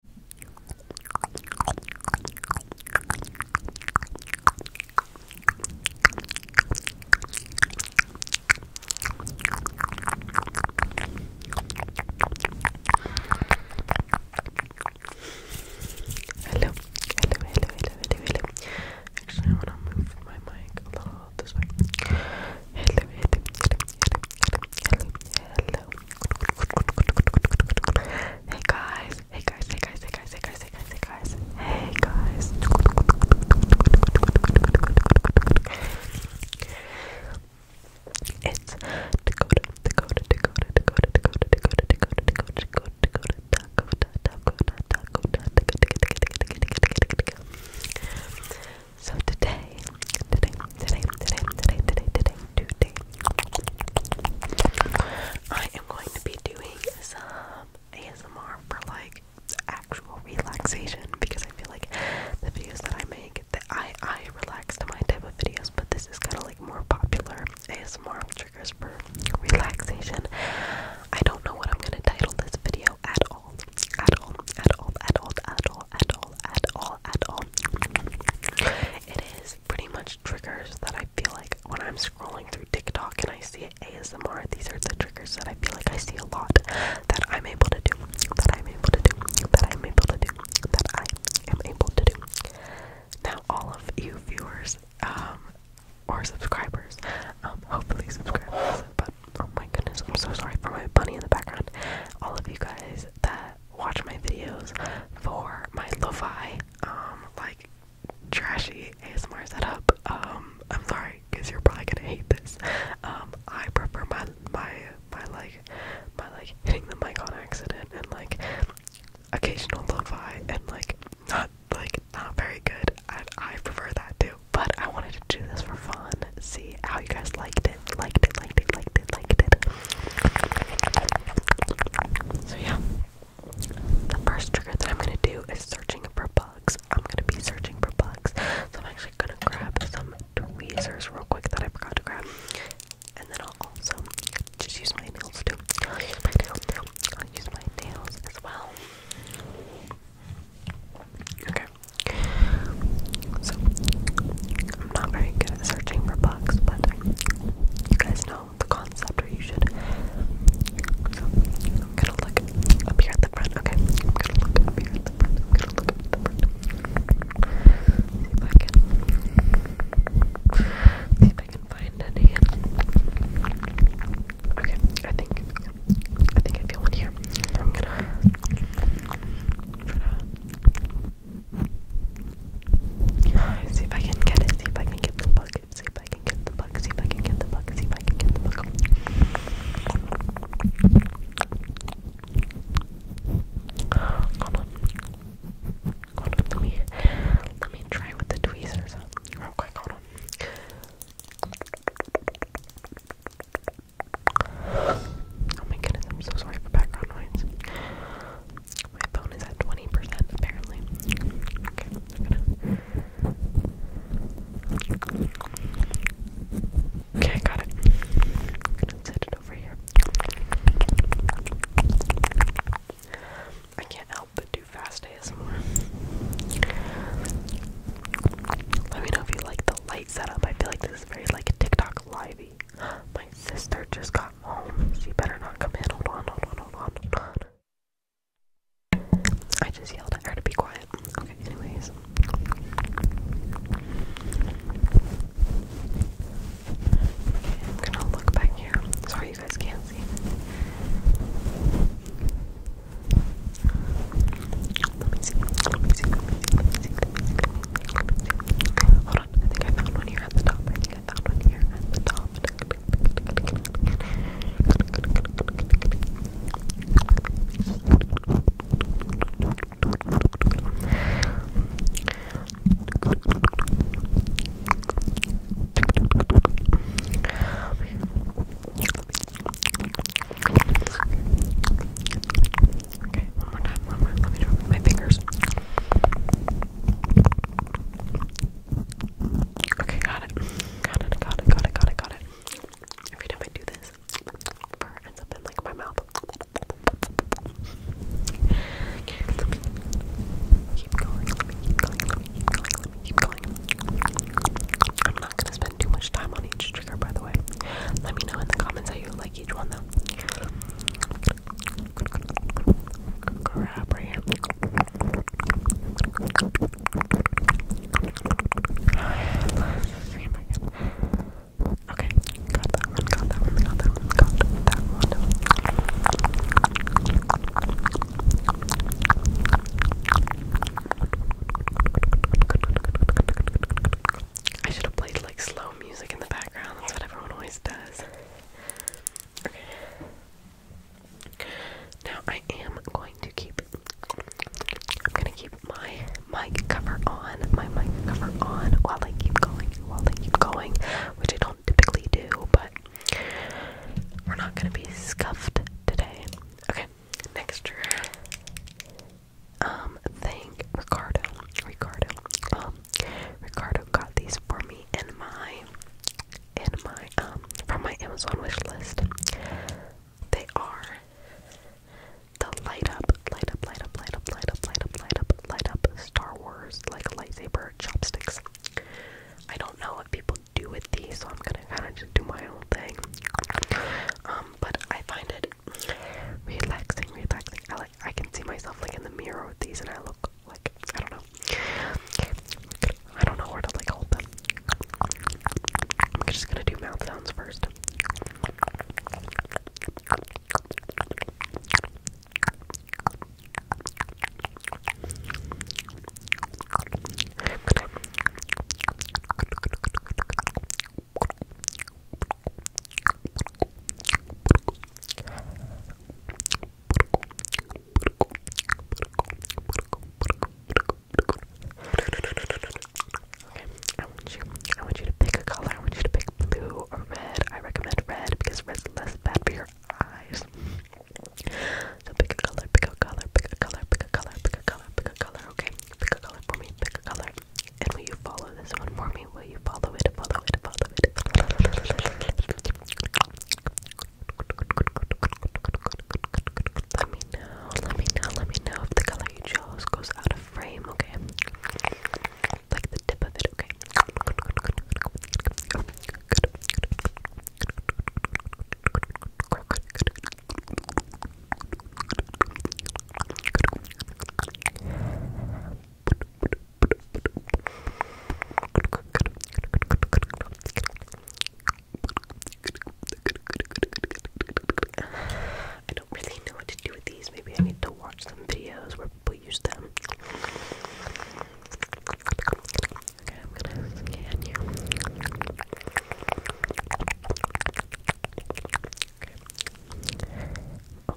Hello, hello, hello, hello, hello. Actually, I wanna move my mic a little this way. Hello, hello, hello, hello, hello, hello, hello. Hey guys, hey guys, hey guys, hey guys, hey guys, hey guys, hey guys, hey guys. It's Dakota, Dakota, Dakota, Dakota, Dakota, Dakota, Dakota, Dakota, Dakota, Dakota, Dakota, Dakota, Dakota, Dakota, Dakota, Dakota, Dakota, Dakota. So today today, today, today, today, today, today, today. I am going to be doing some ASMR for like actual relaxation because I feel like the videos that I make, that I I relax to my type of videos, but this is kind of like more popular ASMR triggers for relaxation. I don't know what I'm gonna title this video at all, at all, at all, at all, at all, at all, at all, at all. It is pretty much triggers that I feel like when I'm scrolling through TikTok and I see ASMR, these are the triggers that I feel like I see a lot that I'm able to do, that I'm able to do, that I'm able to do, that I am able to do. Now, all of you viewers um, or subscribers, um, hopefully subscribers, but oh my goodness, I'm so sorry for my bunny in the background. All of you guys that watch my videos for my lofi, um, like trashy ASMR setup. Um, I'm sorry, cause you're probably gonna hate this. Um, I prefer my my my like my like hitting the mic on accident and like occasional lofi and like not like not very good. I I prefer that too. But I wanted to do this for fun, see how you guys liked it, liked it, liked it, liked it, liked it. So yeah. The first trigger that I'm gonna do is searching for bugs. I'm gonna be searching for bugs. So I'm actually gonna grab some tweezers real quick that I forgot to grab. And then I'll also just use my nails too. use my nails too. I'll use my nails as well. Okay. So I'm not very good at searching for books, but you guys know the concept, or you should. I'm gonna look up here at the front. Okay, I'm gonna look up here at the front. I'm gonna look at the front. See if I can. find any. Okay, I think. I think I feel one here. I'm going to See if I can get it. See if I can get the bug. See if I can get the bug. See if I can get the bug. See if I can get the bug. Hold on. Hold on. Let me let me try with the tweezers. Real quick. Hold on. Oh my goodness, I'm so sorry for background noise. My phone is at 20% apparently. Okay, got it. set it over here. I can't help but do fast ASMR. Let me know if you like the light setup. I feel like this is very like TikTok live baby. My sister just got home. She better not come in. Hold on, hold on, hold on, hold on. I just yelled at her to be quiet. Okay, anyways. Okay, I'm gonna look back here. Sorry you guys can't see. Let me see. Let me see. Let me see. Let me see. Let me see. Let me see. Hold I think I found one here at the top. I think I found one here at the top. Okay, one more time, one more. Let me do my fingers. Okay, got it. Got it, got it, got it, got it, got it. Every time I do this, fur ends up in like my mouth. keep going, keep going, keep going, keep going. I'm not gonna spend too much time on each trigger by the way. Let me know in the comments how you like each one though. Okay, got that one, got that one, got that one, got that one. I should have played like slow music in the background, that's what everyone always does. Now I am going to keep I'm gonna keep my mic cover on, my mic cover on while I keep going, while I keep going, which I don't typically do, but we're not gonna be scuffed today. Okay, next Um, thank Ricardo. Ricardo. Um, Ricardo got these for me in my in my um from my Amazon wish list. They are the light up, light up, light up, light up, light up, light up, light up, light up Star Wars like lightsaber chopsticks. I don't know what people do with these, so I'm gonna kinda just do my own thing. Um, but I find it relaxing, relaxing. I like I can see myself like in the mirror with these, and I look like I don't know. I don't know where to like hold them. I'm just gonna do mouth sounds first. Okay, I want you I want you to pick a color. I want you to pick blue or red. I recommend red because red is less bad for your eyes. So pick a color, pick a color, pick a color, pick a color, pick a color, pick a color, okay? Pick a color for me, pick a color. And will you follow this one for me? me, will you follow it, follow it, follow it? Let me know, let me know, let me know if the color you chose goes out of frame, okay? Like the tip of it, okay? I don't really know what to do with these. Maybe I need to watch some videos where people use them. Okay, I'm gonna scan you. Okay. Oh.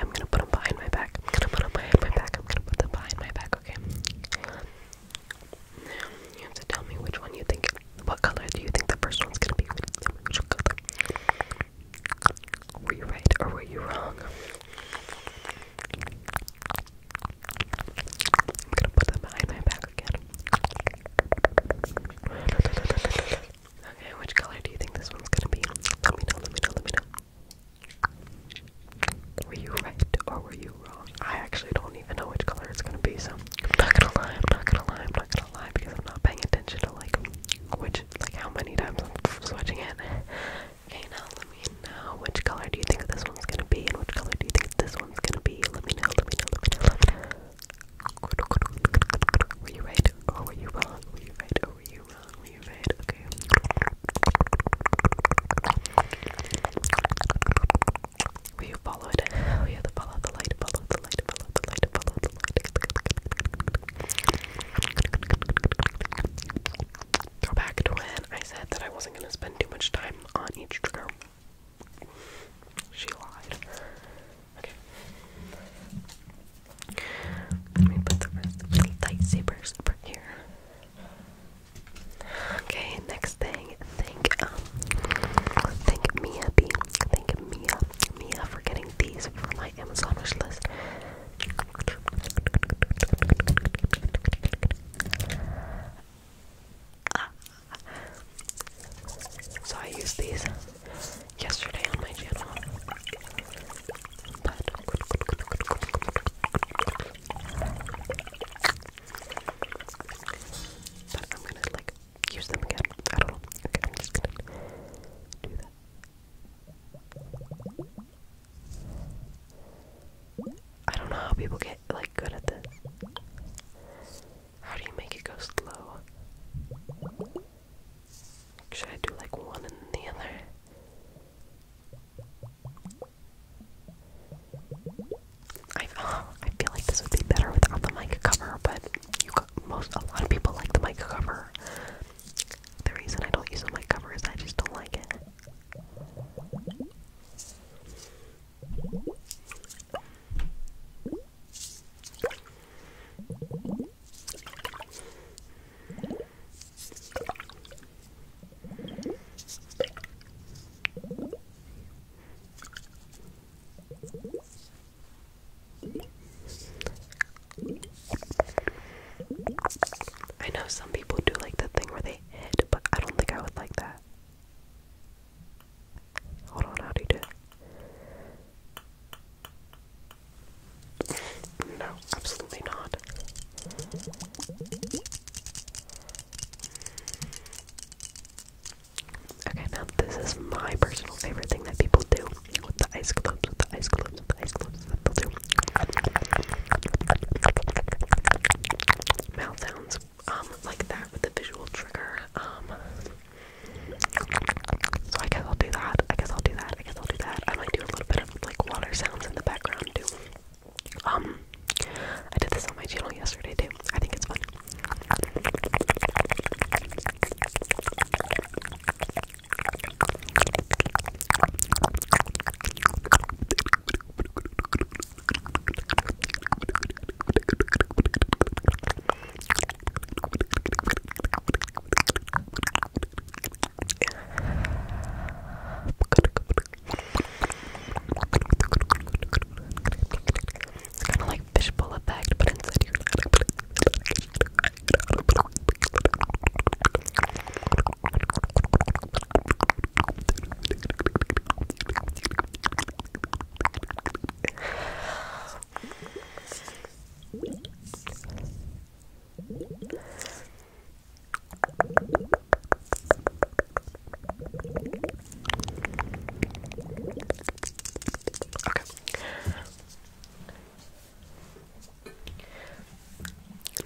I'm gonna put them behind my back. I'm gonna put them behind my back. I'm gonna put them behind my back, okay? you have to tell me which one you think. What color do you think the first one's gonna be? which color. Were you right or were you wrong? I'm gonna put them behind my back again. Okay, which color do you think this one's gonna be? Let me know, let me know, let me know. Were you right or were you wrong? I actually don't even know which color it's gonna be, so I'm not gonna lie, I'm not gonna lie, I'm not gonna lie because I'm not paying attention to like which like how many times I'm switching it. Okay, now let me know which color do you think this one's gonna be and which color do you think this one's gonna be? Let me know, let me know, let me know, Were you right or were you wrong? Were you right or were you Will you follow it? Oh yeah, the follow the light, follow the light, follow the light, follow the light. Go back to when I said that I wasn't gonna spend too much time on each trigger. She lied. Okay. Let me put the rest of the lightsabers here. Okay, next thing, thank um thank Mia B. Thank Mia Mia for getting these for my Amazon wish list. Ah. So I used these yesterday on my channel. I'm gonna like use them again. I don't know. Okay, I'm just gonna do that. I don't know how people get like good at this. How do you make it go slow? Should I do like one and the other? I uh, I feel like this would be better without the mic cover, but most a lot of people like the mic cover. The reason I don't use the mic cover is I just don't like it. I know some people do like the thing where they hit, but I don't think I would like that. Hold on, how do you do no, absolutely not. Okay, now this is my personal favorite thing that people do with the ice globes, with the ice globes, with the ice globes they'll do. Mouth sounds um, like that with the visual trigger. Um, so I guess I'll do that. I guess I'll do that. I guess I'll do that. I might do a little bit like water sounds in the background too. Um, I did this on my channel yesterday too. I think it's fun. It's kind of like fishbowl effect, but instead you're Okay.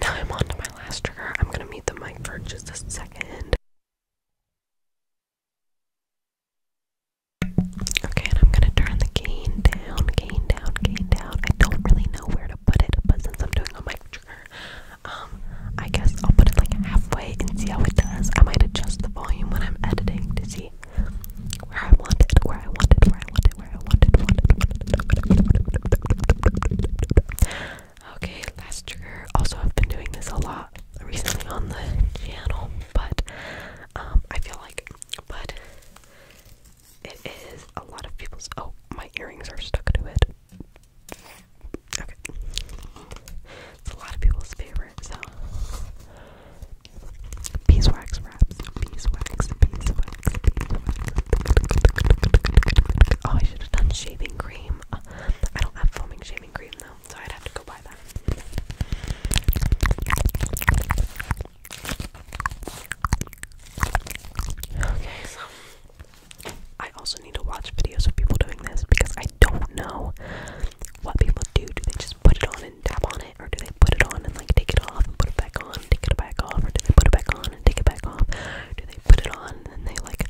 Now I'm on my last trigger. I'm gonna meet the mic for just a second. Okay, and I'm gonna turn the gain down, gain down, gain down. I don't really know where to put it, but since I'm doing a mic trigger, um, I guess I'll put it like halfway and see how it does. I might adjust the volume when I'm editing to see where I want it, where I want it, where I want it, where I want it. Want it, want it. Okay, last trigger. Also, I've been doing this a lot recently on the channel, but um, I feel like, but it is a lot of people's. Oh, my earrings are stuck to it. Okay. It's a lot of people's favorite, so. Beeswax wraps. Beeswax, beeswax, Oh, I should have done shaving cream. Uh, I don't have foaming shaving cream though, so I'd have to go buy that. I also need to watch videos of people doing this because I don't know what people do. Do they just put it on and tap on it, or do they put it on and like take it off and put it back on, take it back off, or do they put it back on and take it back off? Do they put it on and then they like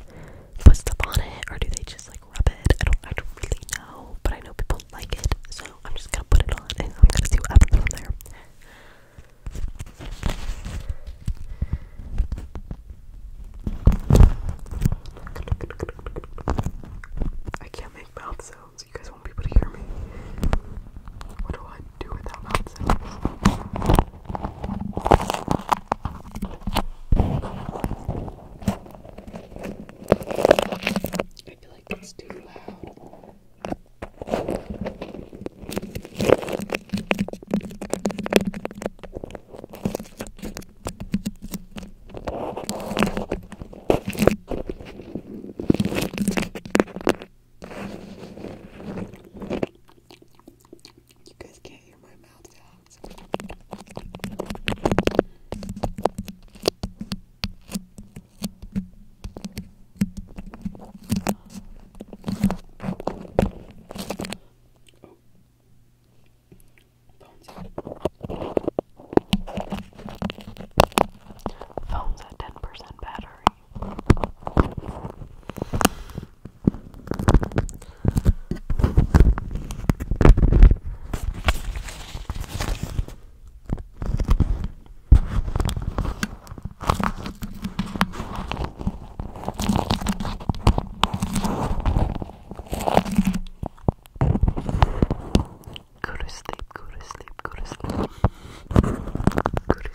put stuff on it, or do they just like rub it? I don't, I don't really know, but I know people like it, so I'm just gonna put it on and I'm gonna see what happens from there. I can't make mouth sounds. You guys won't be able to hear me. What do I do without mouth sounds? I feel like it's too loud. You guys can't hear my mouth sounds. Oh. Phones. Phones at ten percent battery. Go to sleep, go to sleep, go to sleep. Go to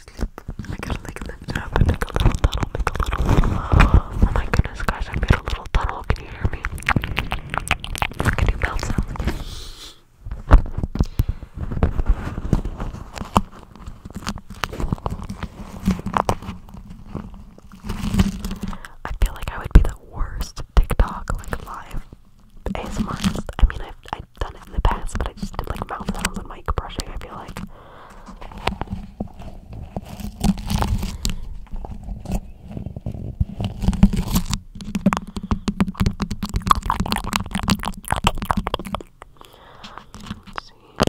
sleep. I gotta like lift up and make a little tunnel, make a little Oh my goodness guys, I made a little tunnel. Can you hear me? Can you mouth sound I feel like I would be the worst TikTok like live ASMRist. I mean, I've I've done it in the past, but I just did like mouth sounds and mic brushing. I feel like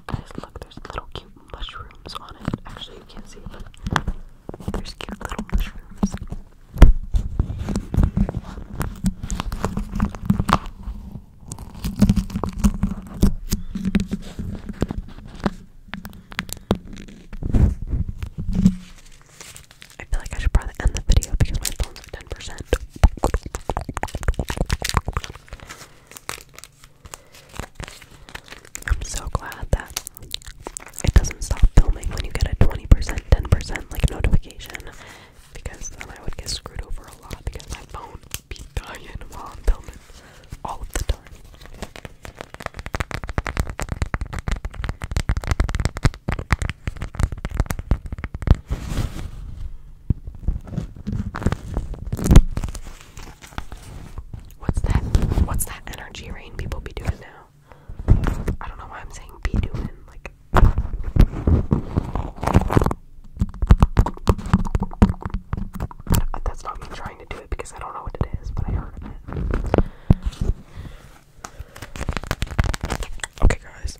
guys, look, there's little cute mushrooms on it. Actually, you can't see but there's cute little mushrooms. I feel like I should probably end the video because my phone 10%. I'm so glad that it doesn't stop filming when you get a 20%, 10% like notification because then I would get screwed over a lot because my phone be dying while filming all the time. What's that? What's that energy rain people be doing now? I don't know why I'm saying be doing. Like, that's not me trying to do it because I don't know what it is, but I heard it. Okay, guys